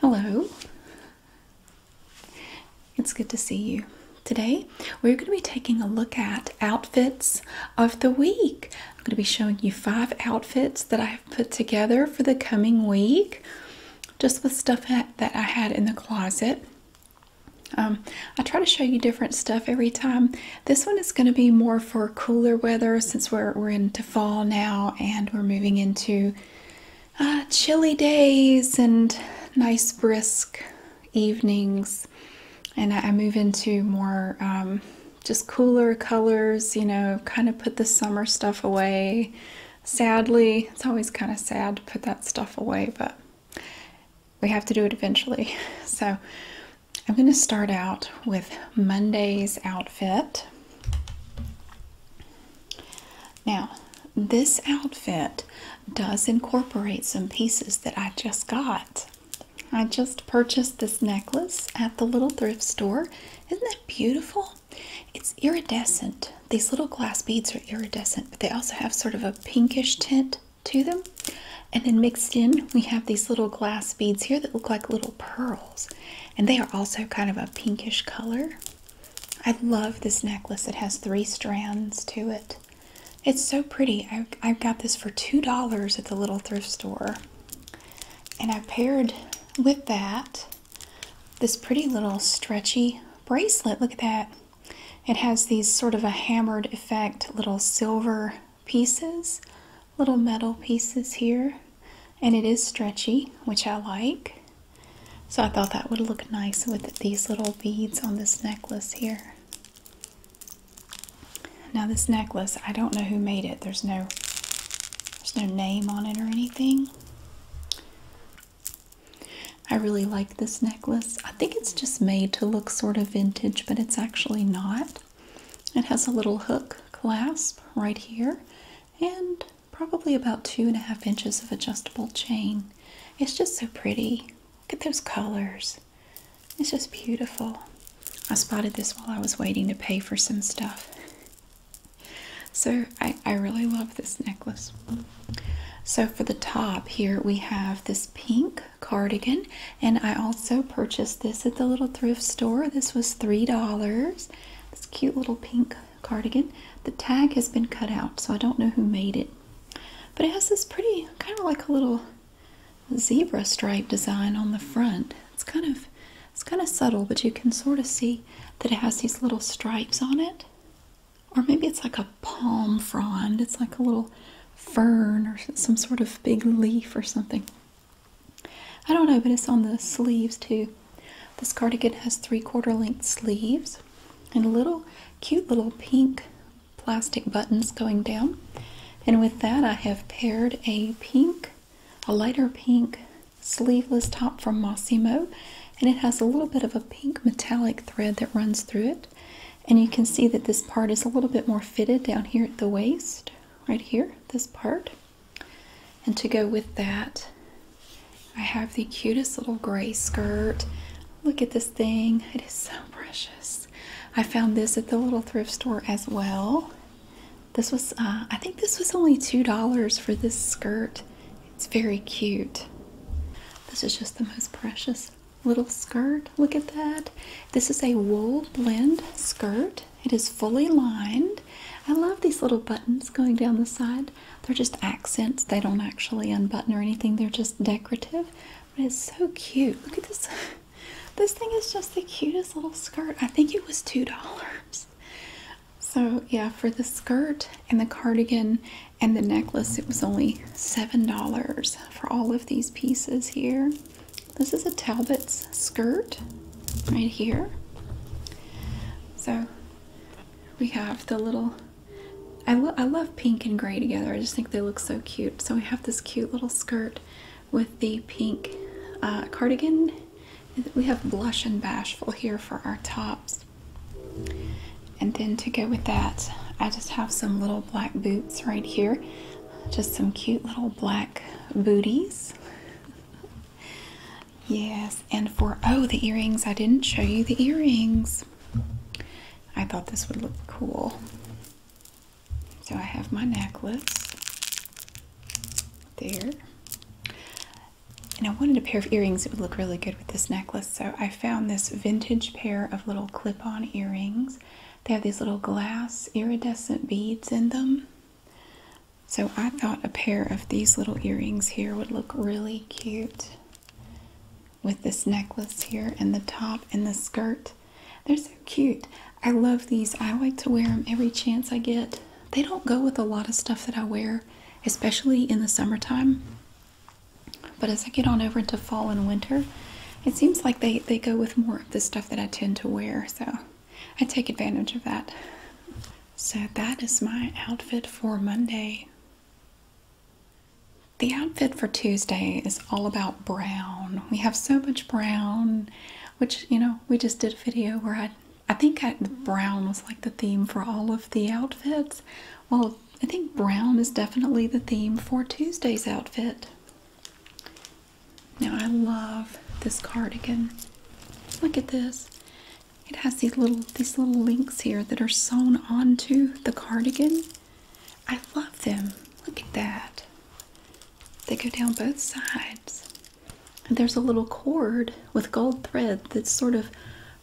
Hello. It's good to see you. Today, we're going to be taking a look at outfits of the week. I'm going to be showing you five outfits that I have put together for the coming week, just with stuff that I had in the closet. Um, I try to show you different stuff every time. This one is going to be more for cooler weather since we're in to fall now and we're moving into uh, chilly days and nice brisk evenings and i, move into more um, just cooler colors you know kind of put the summer stuff away sadly it's always kind of sad to put that stuff away but we have to do it eventually so i'm going to start out with monday's outfit now, this outfit does incorporate some pieces that I just got. I just purchased this necklace at the little thrift store. Isn't that beautiful? It's iridescent. These little glass beads are iridescent, but they also have sort of a pinkish tint to them. And then mixed in, we have these little glass beads here that look like little pearls and they are also kind of a pinkish color. I love this necklace. It has three strands to it. It's so pretty. I, I got this for $2 at the little thrift store. And I paired with that this pretty little stretchy bracelet. Look at that. It has these sort of a hammered effect little silver pieces little metal pieces here and it is stretchy which I like so I thought that would look nice with these little beads on this necklace here now this necklace I don't know who made it there's no there's no name on it or anything I really like this necklace. I think it's just made to look sort of vintage, but it's actually not. It has a little hook clasp right here and probably about two and a half inches of adjustable chain. It's just so pretty. Look at those colors. It's just beautiful. I spotted this while I was waiting to pay for some stuff. So I, I really love this necklace. So for the top here we have this pink cardigan and I also purchased this at the little thrift store. This was $3 this cute little pink cardigan. The tag has been cut out, so I don't know who made it. But it has this pretty, kind of like a little zebra stripe design on the front. It's kind of it's kind of subtle, but you can sort of see that it has these little stripes on it. Or maybe it's like a palm frond. It's like a little fern or some sort of big leaf or something. I don't know, but it's on the sleeves too. This cardigan has three quarter length sleeves and little cute little pink plastic buttons going down. And with that, I have paired a pink, a lighter pink sleeveless top from Massimo. And it has a little bit of a pink metallic thread that runs through it. And you can see that this part is a little bit more fitted down here at the waist, right here, this part. And to go with that, I have the cutest little gray skirt. Look at this thing. It is so precious. I found this at the little thrift store as well. This was, uh, I think this was only $2 for this skirt. It's very cute. This is just the most precious little skirt. Look at that. This is a wool blend skirt. It is fully lined. I love these little buttons going down the side. They're just accents. They don't actually unbutton or anything. They're just decorative. But it's so cute. Look at this. This thing is just the cutest little skirt. I think it was $2. So yeah, for the skirt and the cardigan and the necklace, it was only $7 for all of these pieces here. This is a Talbot's skirt right here. So we have the little. I, love pink and gray together. I just think they look so cute. So we have this cute little skirt with the pink uh, cardigan. We have blush and bashful here for our tops. And then to go with that, I just have some little black boots right here. Just some cute little black booties yes, and for oh, the earrings. I didn't show you the earrings. I thought this would look cool. So I have my necklace there. And I wanted a pair of earrings that would look really good with this necklace. So I found this vintage pair of little clip on earrings. They have these little glass iridescent beads in them. So I thought a pair of these little earrings here would look really cute with this necklace here and the top and the skirt. They're so cute. I love these. I like to wear them every chance I get. They don't go with a lot of stuff that I wear, especially in the summertime. But as I get on over into fall and winter, it seems like they, they go with more of the stuff that I tend to wear. So I take advantage of that. So that is my outfit for Monday. The outfit for Tuesday is all about brown. We have so much brown, which, you know, we just did a video where I, I think brown was like the theme for all of the outfits. Well, I think brown is definitely the theme for Tuesday's outfit. Now I love this cardigan. Look at this. It has these little these little links here that are sewn onto the cardigan. I love them. Look at that. They go down both sides. And there's a little cord with gold thread that's sort of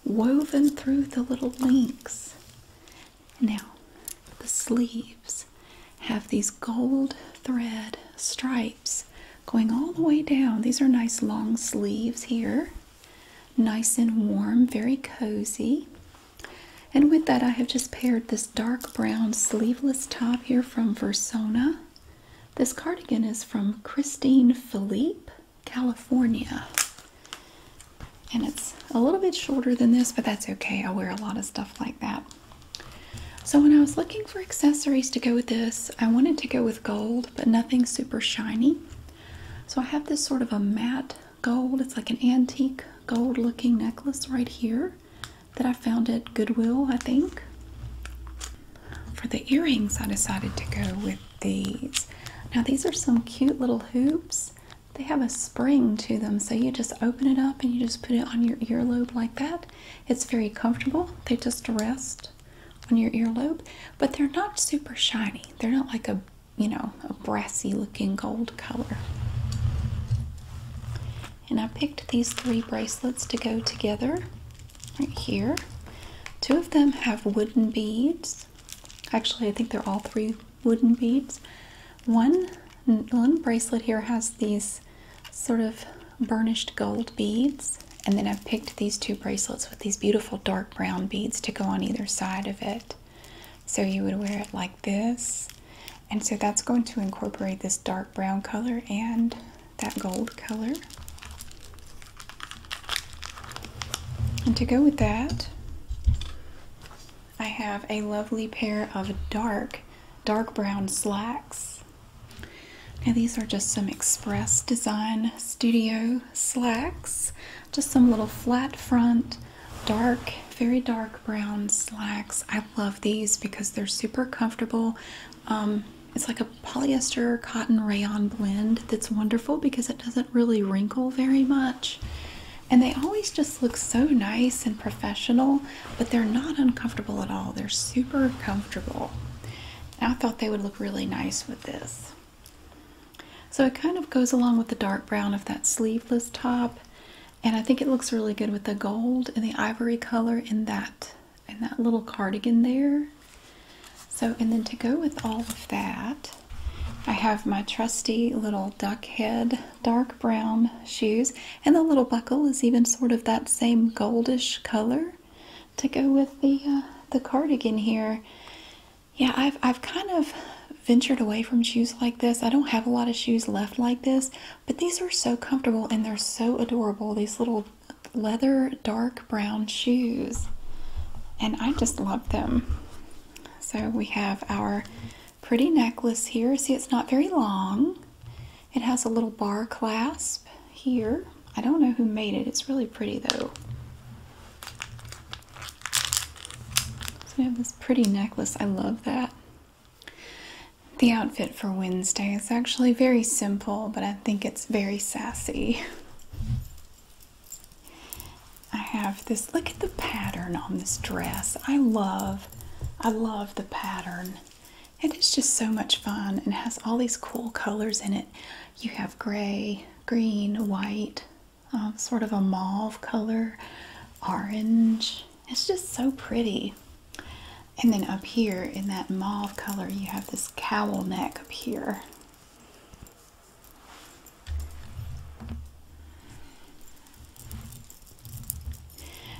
woven through the little links. Now, the sleeves have these gold thread stripes going all the way down. These are nice long sleeves here, nice and warm, very cozy. And with that, I have just paired this dark brown sleeveless top here from Versona. This cardigan is from Christine Philippe, California. And it's a little bit shorter than this, but that's okay. I wear a lot of stuff like that. So when I was looking for accessories to go with this, I wanted to go with gold, but nothing super shiny. So I have this sort of a matte gold. It's like an antique gold looking necklace right here that I found at Goodwill, I think. For the earrings, I decided to go with these. Now these are some cute little hoops. They have a spring to them, so you just open it up and you just put it on your earlobe like that, it's very comfortable. They just rest on your earlobe, but they're not super shiny. They're not like a, you know, a brassy looking gold color. And I picked these three bracelets to go together right here. Two of them have wooden beads. Actually, I think they're all three wooden beads. One the little bracelet here has these sort of burnished gold beads. And then I've picked these two bracelets with these beautiful dark brown beads to go on either side of it. So you would wear it like this. And so that's going to incorporate this dark brown color and that gold color. And to go with that, I have a lovely pair of dark dark brown slacks. Now these are just some Express Design Studio slacks. Just some little flat front, dark, very dark brown slacks. I love these because they're super comfortable. Um, it's like a polyester cotton rayon blend that's wonderful because it doesn't really wrinkle very much. And they always just look so nice and professional but they're not uncomfortable at all. They're super comfortable. I thought they would look really nice with this. So it kind of goes along with the dark brown of that sleeveless top. And I think it looks really good with the gold and the ivory color in that, in that little cardigan there. So, and then to go with all of that, I have my trusty little duck head dark brown shoes. And the little buckle is even sort of that same goldish color to go with the uh, the cardigan here. Yeah, I've I've kind of ventured away from shoes like this. I don't have a lot of shoes left like this, but these are so comfortable and they're so adorable. These little leather dark brown shoes. And I just love them. So we have our pretty necklace here. See, it's not very long. It has a little bar clasp here. I don't know who made it. It's really pretty though. So we have this pretty necklace. I love that. The outfit for Wednesday It's actually very simple, but I think it's very sassy. I have this, look at the pattern on this dress. I love, I love the pattern. It is just so much fun and has all these cool colors in it. You have gray, green, white, um, sort of a mauve color, orange. It's just so pretty. And then up here in that mauve color, you have this cowl neck up here.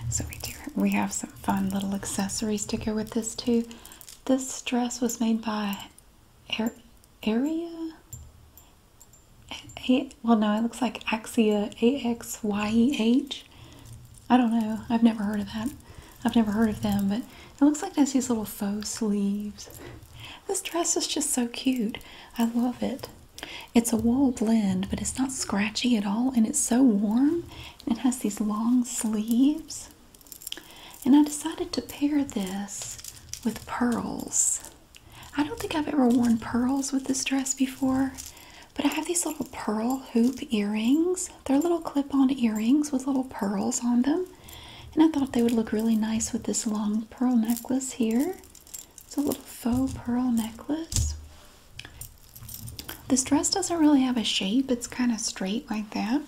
So we do we have some fun little accessory sticker with this too. This dress was made by Area. well, no, it looks like Axia A X Y E H. I don't know. I've never heard of that. I've never heard of them, but it looks like there's these little faux sleeves. This dress is just so cute. I love it. It's a wool blend, but it's not scratchy at all, and it's so warm. it has these long sleeves. And I decided to pair this with pearls. I don't think I've ever worn pearls with this dress before, but I have these little pearl hoop earrings. They're little clip on earrings with little pearls on them. And I thought they would look really nice with this long pearl necklace here. It's a little faux pearl necklace. This dress doesn't really have a shape, it's kind of straight like that.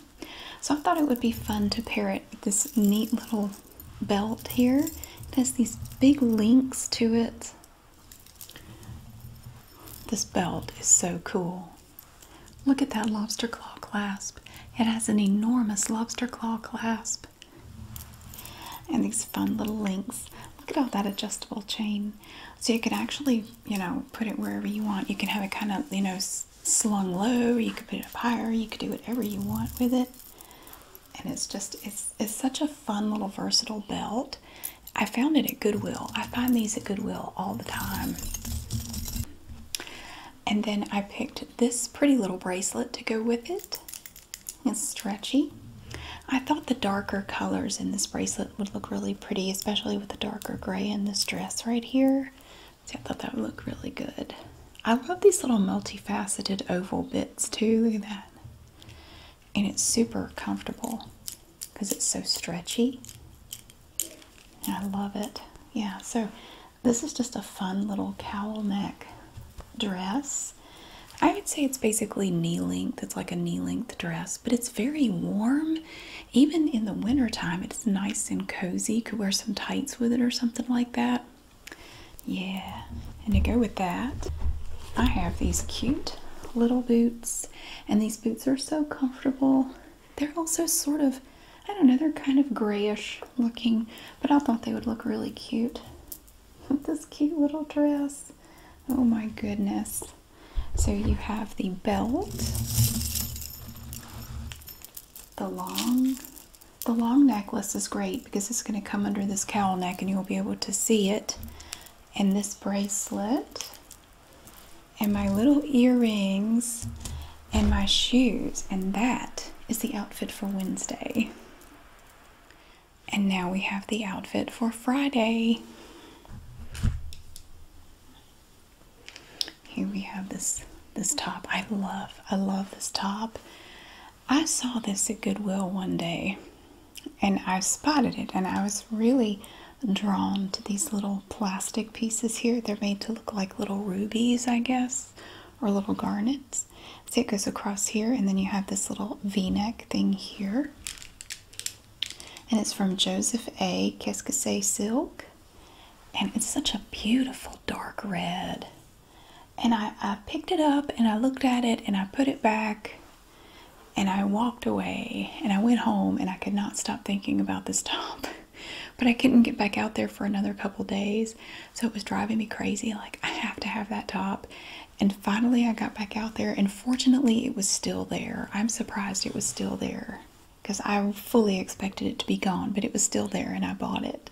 So I thought it would be fun to pair it with this neat little belt here. It has these big links to it. This belt is so cool. Look at that lobster claw clasp. It has an enormous lobster claw clasp. And these fun little links. Look at all that adjustable chain. So you could actually, you know, put it wherever you want. You can have it kind of, you know, slung low. You could put it up higher. You could do whatever you want with it. And it's just, it's, it's such a fun little versatile belt. I found it at Goodwill. I find these at Goodwill all the time. And then I picked this pretty little bracelet to go with it. It's stretchy. I thought the darker colors in this bracelet would look really pretty, especially with the darker gray in this dress right here. See, I thought that would look really good. I love these little multifaceted oval bits too. Look at that. And it's super comfortable because it's so stretchy. I love it. Yeah, so this is just a fun little cowl neck dress I would say it's basically knee length. It's like a knee length dress, but it's very warm. Even in the wintertime, it's nice and cozy. could wear some tights with it or something like that. Yeah, and to go with that, I have these cute little boots, and these boots are so comfortable. They're also sort of, I don't know, they're kind of grayish looking, but I thought they would look really cute with this cute little dress. Oh my goodness. So you have the belt, the long. The long necklace is great because it's going to come under this cowl neck and you'll be able to see it. And this bracelet, and my little earrings, and my shoes. And that is the outfit for Wednesday. And now we have the outfit for Friday. Here we have this this top. I love I love this top. I saw this at Goodwill one day and I spotted it and I was really drawn to these little plastic pieces here. They're made to look like little rubies, I guess, or little garnets See, it goes across here, and then you have this little v-neck thing here. And it's from Joseph A. Keskese Silk. And it's such a beautiful dark red. And I picked it up, and I looked at it, and I put it back. And I walked away, and I went home, and I could not stop thinking about this top. but I couldn't get back out there for another couple days. So it was driving me crazy. Like, I have to have that top. And finally, I got back out there, and fortunately, it was still there. I'm surprised it was still there because I fully expected it to be gone, but it was still there, and I bought it.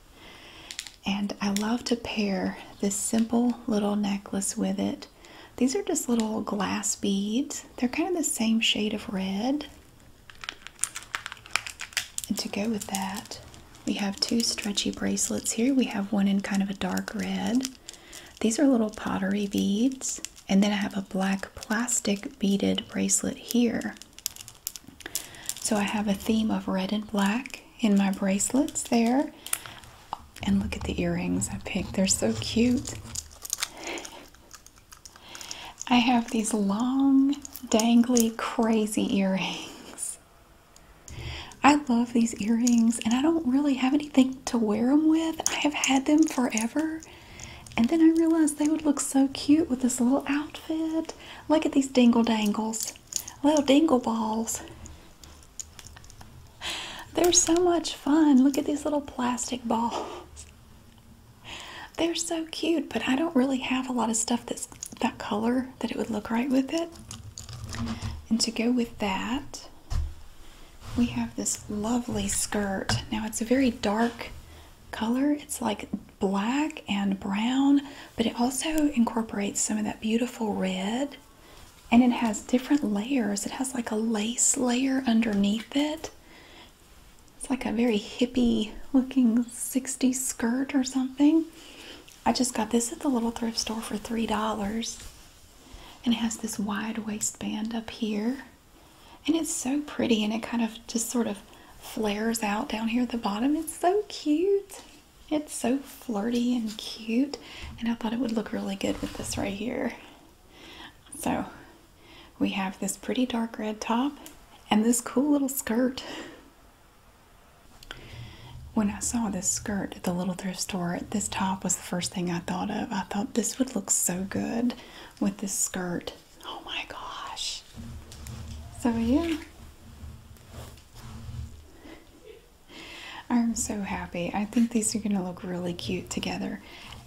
And I love to pair this simple little necklace with it. These are just little glass beads, they're kind of the same shade of red. And to go with that, we have two stretchy bracelets here. We have one in kind of a dark red. These are little pottery beads. And then I have a black plastic beaded bracelet here. So I have a theme of red and black in my bracelets there. And look at the earrings I picked. They're so cute. I have these long, dangly, crazy earrings. I love these earrings, and I don't really have anything to wear them with. I have had them forever, and then I realized they would look so cute with this little outfit. Look at these dingle dangles, little dingle balls. They're so much fun. Look at these little plastic balls. They're so cute, but I don't really have a lot of stuff that's that color that it would look right with it. And to go with that, we have this lovely skirt. Now it's a very dark color. It's like black and brown, but it also incorporates some of that beautiful red. And it has different layers. It has like a lace layer underneath it. It's like a very hippie looking 60s skirt or something. I just got this at the little thrift store for $3. And it has this wide waistband up here. And it's so pretty and it kind of just sort of flares out down here at the bottom. It's so cute. It's so flirty and cute. And I thought it would look really good with this right here. So we have this pretty dark red top and this cool little skirt when I saw this skirt at the little thrift store, this top was the first thing I thought of. I thought this would look so good with this skirt. Oh my gosh. So, yeah. I'm so happy. I think these are going to look really cute together.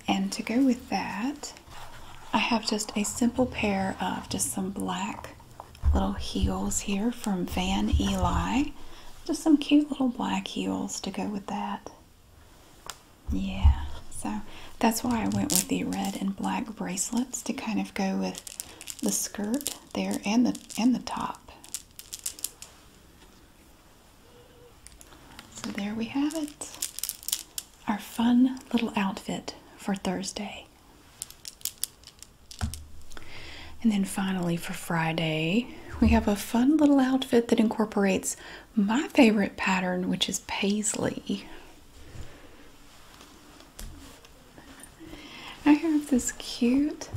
And to go with that, I have just a simple pair of just some black little heels here from Van Ely, Just some cute little black heels to go with that. Yeah, so that's why I went with the red and black bracelets to kind of go with the skirt there and the and the top. So there we have it. Our fun little outfit for Thursday. And then finally, for Friday, we have a fun little outfit that incorporates my favorite pattern, which is paisley. I have this cute,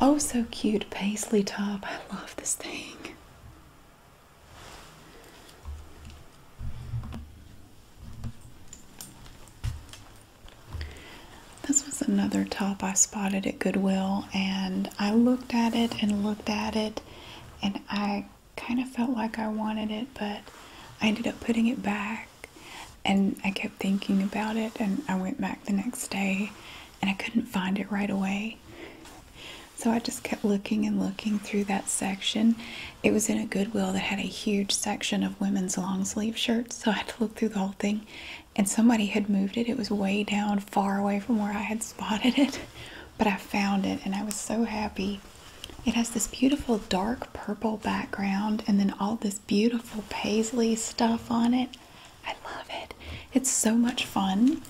oh, so cute paisley top. I love this thing. This was another top I spotted at Goodwill, and I looked at it and looked at it, and I kind of felt like I wanted it, but I ended up putting it back. And I kept thinking about it, and I went back the next day, and I couldn't find it right away. So I just kept looking and looking through that section. It was in a Goodwill that had a huge section of women's long sleeve shirts, so I had to look through the whole thing and somebody had moved it. It was way down, far away from where I had spotted it, but I found it and I was so happy. It has this beautiful dark purple background and then all this beautiful paisley stuff on it. I love it. It's so much fun.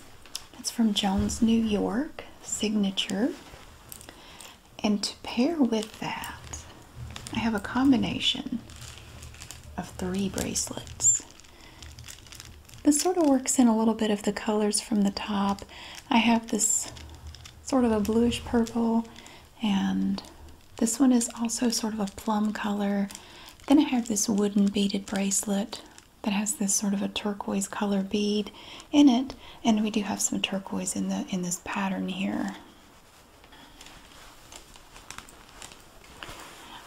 It's from Jones, New York, signature. And to pair with that, I have a combination of three bracelets. This sort of works in a little bit of the colors from the top. I have this sort of a bluish purple, and this one is also sort of a plum color. Then I have this wooden beaded bracelet that has this sort of a turquoise color bead in it, and we do have some turquoise in the in this pattern here.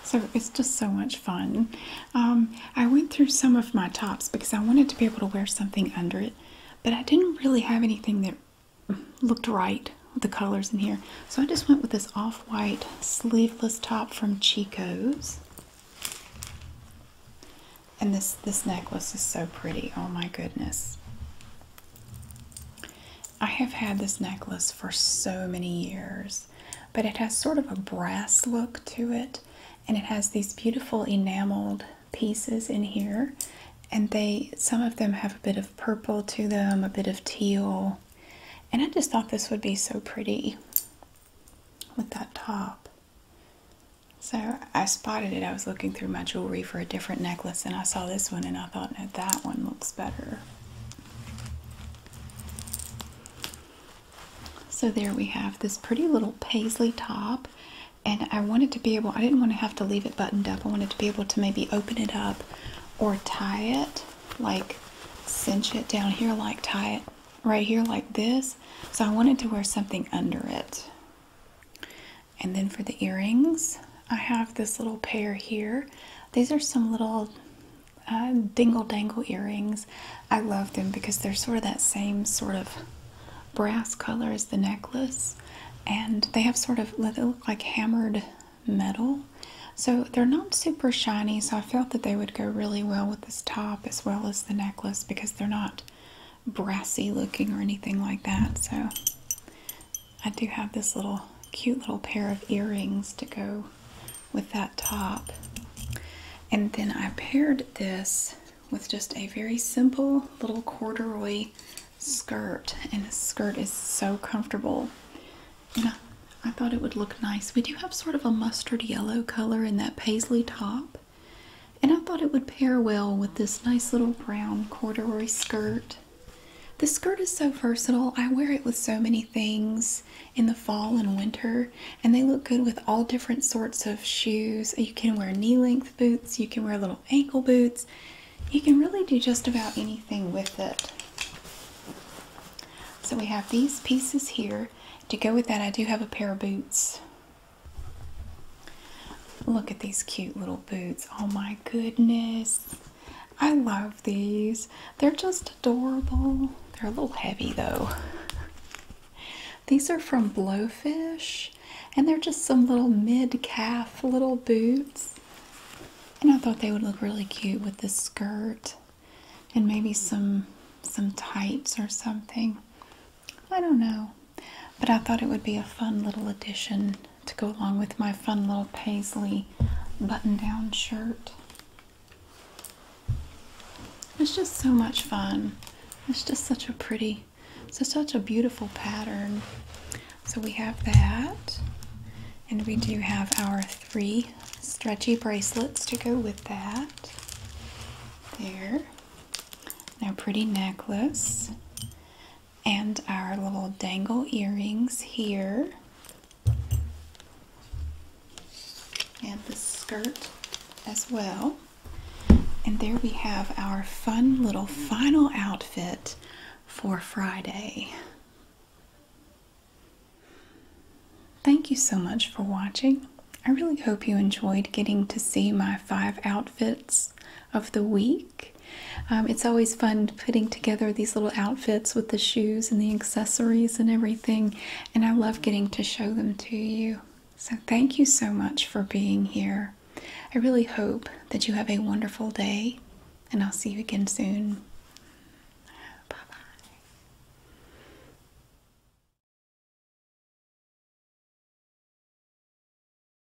So it's just so much fun. Um, I went through some of my tops because I wanted to be able to wear something under it, but I didn't really have anything that looked right with the colors in here. So I just went with this off-white sleeveless top from Chico's. And this this necklace is so pretty. Oh my goodness. I have had this necklace for so many years, but it has sort of a brass look to it, and it has these beautiful enameled pieces in here, and they some of them have a bit of purple to them, a bit of teal, and I just thought this would be so pretty with that top. So I spotted it. I was looking through my jewelry for a different necklace and I saw this one and I thought, that one looks better. So there we have this pretty little paisley top and I wanted to be able, I didn't want to have to leave it buttoned up. I wanted to be able to maybe open it up or tie it, like cinch it down here, like tie it right here like this. So I wanted to wear something under it. And then for the earrings, I have this little pair here. These are some little uh, dingle dangle earrings. I love them because they're sort of that same sort of brass color as the necklace. And they have sort of, they look like hammered metal. So they're not super shiny, so I felt that they would go really well with this top as well as the necklace because they're not brassy looking or anything like that. So I do have this little cute little pair of earrings to go with that top. And then I paired this with just a very simple little corduroy skirt. And this skirt is so comfortable. And I, I thought it would look nice. We do have sort of a mustard yellow color in that paisley top. And I thought it would pair well with this nice little brown corduroy skirt. The skirt is so versatile. I wear it with so many things in the fall and winter, and they look good with all different sorts of shoes. You can wear knee length boots, you can wear little ankle boots. You can really do just about anything with it. So we have these pieces here. To go with that, I do have a pair of boots. Look at these cute little boots. Oh my goodness. I love these. They're just adorable. They're a little heavy though. These are from Blowfish and they're just some little mid calf little boots. And I thought they would look really cute with this skirt and maybe some some tights or something. I don't know. But I thought it would be a fun little addition to go along with my fun little paisley button down shirt. It's just so much fun. It's just such a pretty, it's such a beautiful pattern. So we have that. And we do have our three stretchy bracelets to go with that. There. And our pretty necklace and our little dangle earrings here. And the skirt as well. And there we have our fun little final outfit for Friday. Thank you so much for watching. I really hope you enjoyed getting to see my five outfits of the week. Um, it's always fun putting together these little outfits with the shoes and the accessories and everything, and I love getting to show them to you. So, thank you so much for being here. I really hope that you have a wonderful day, and I'll see you again soon. Bye bye.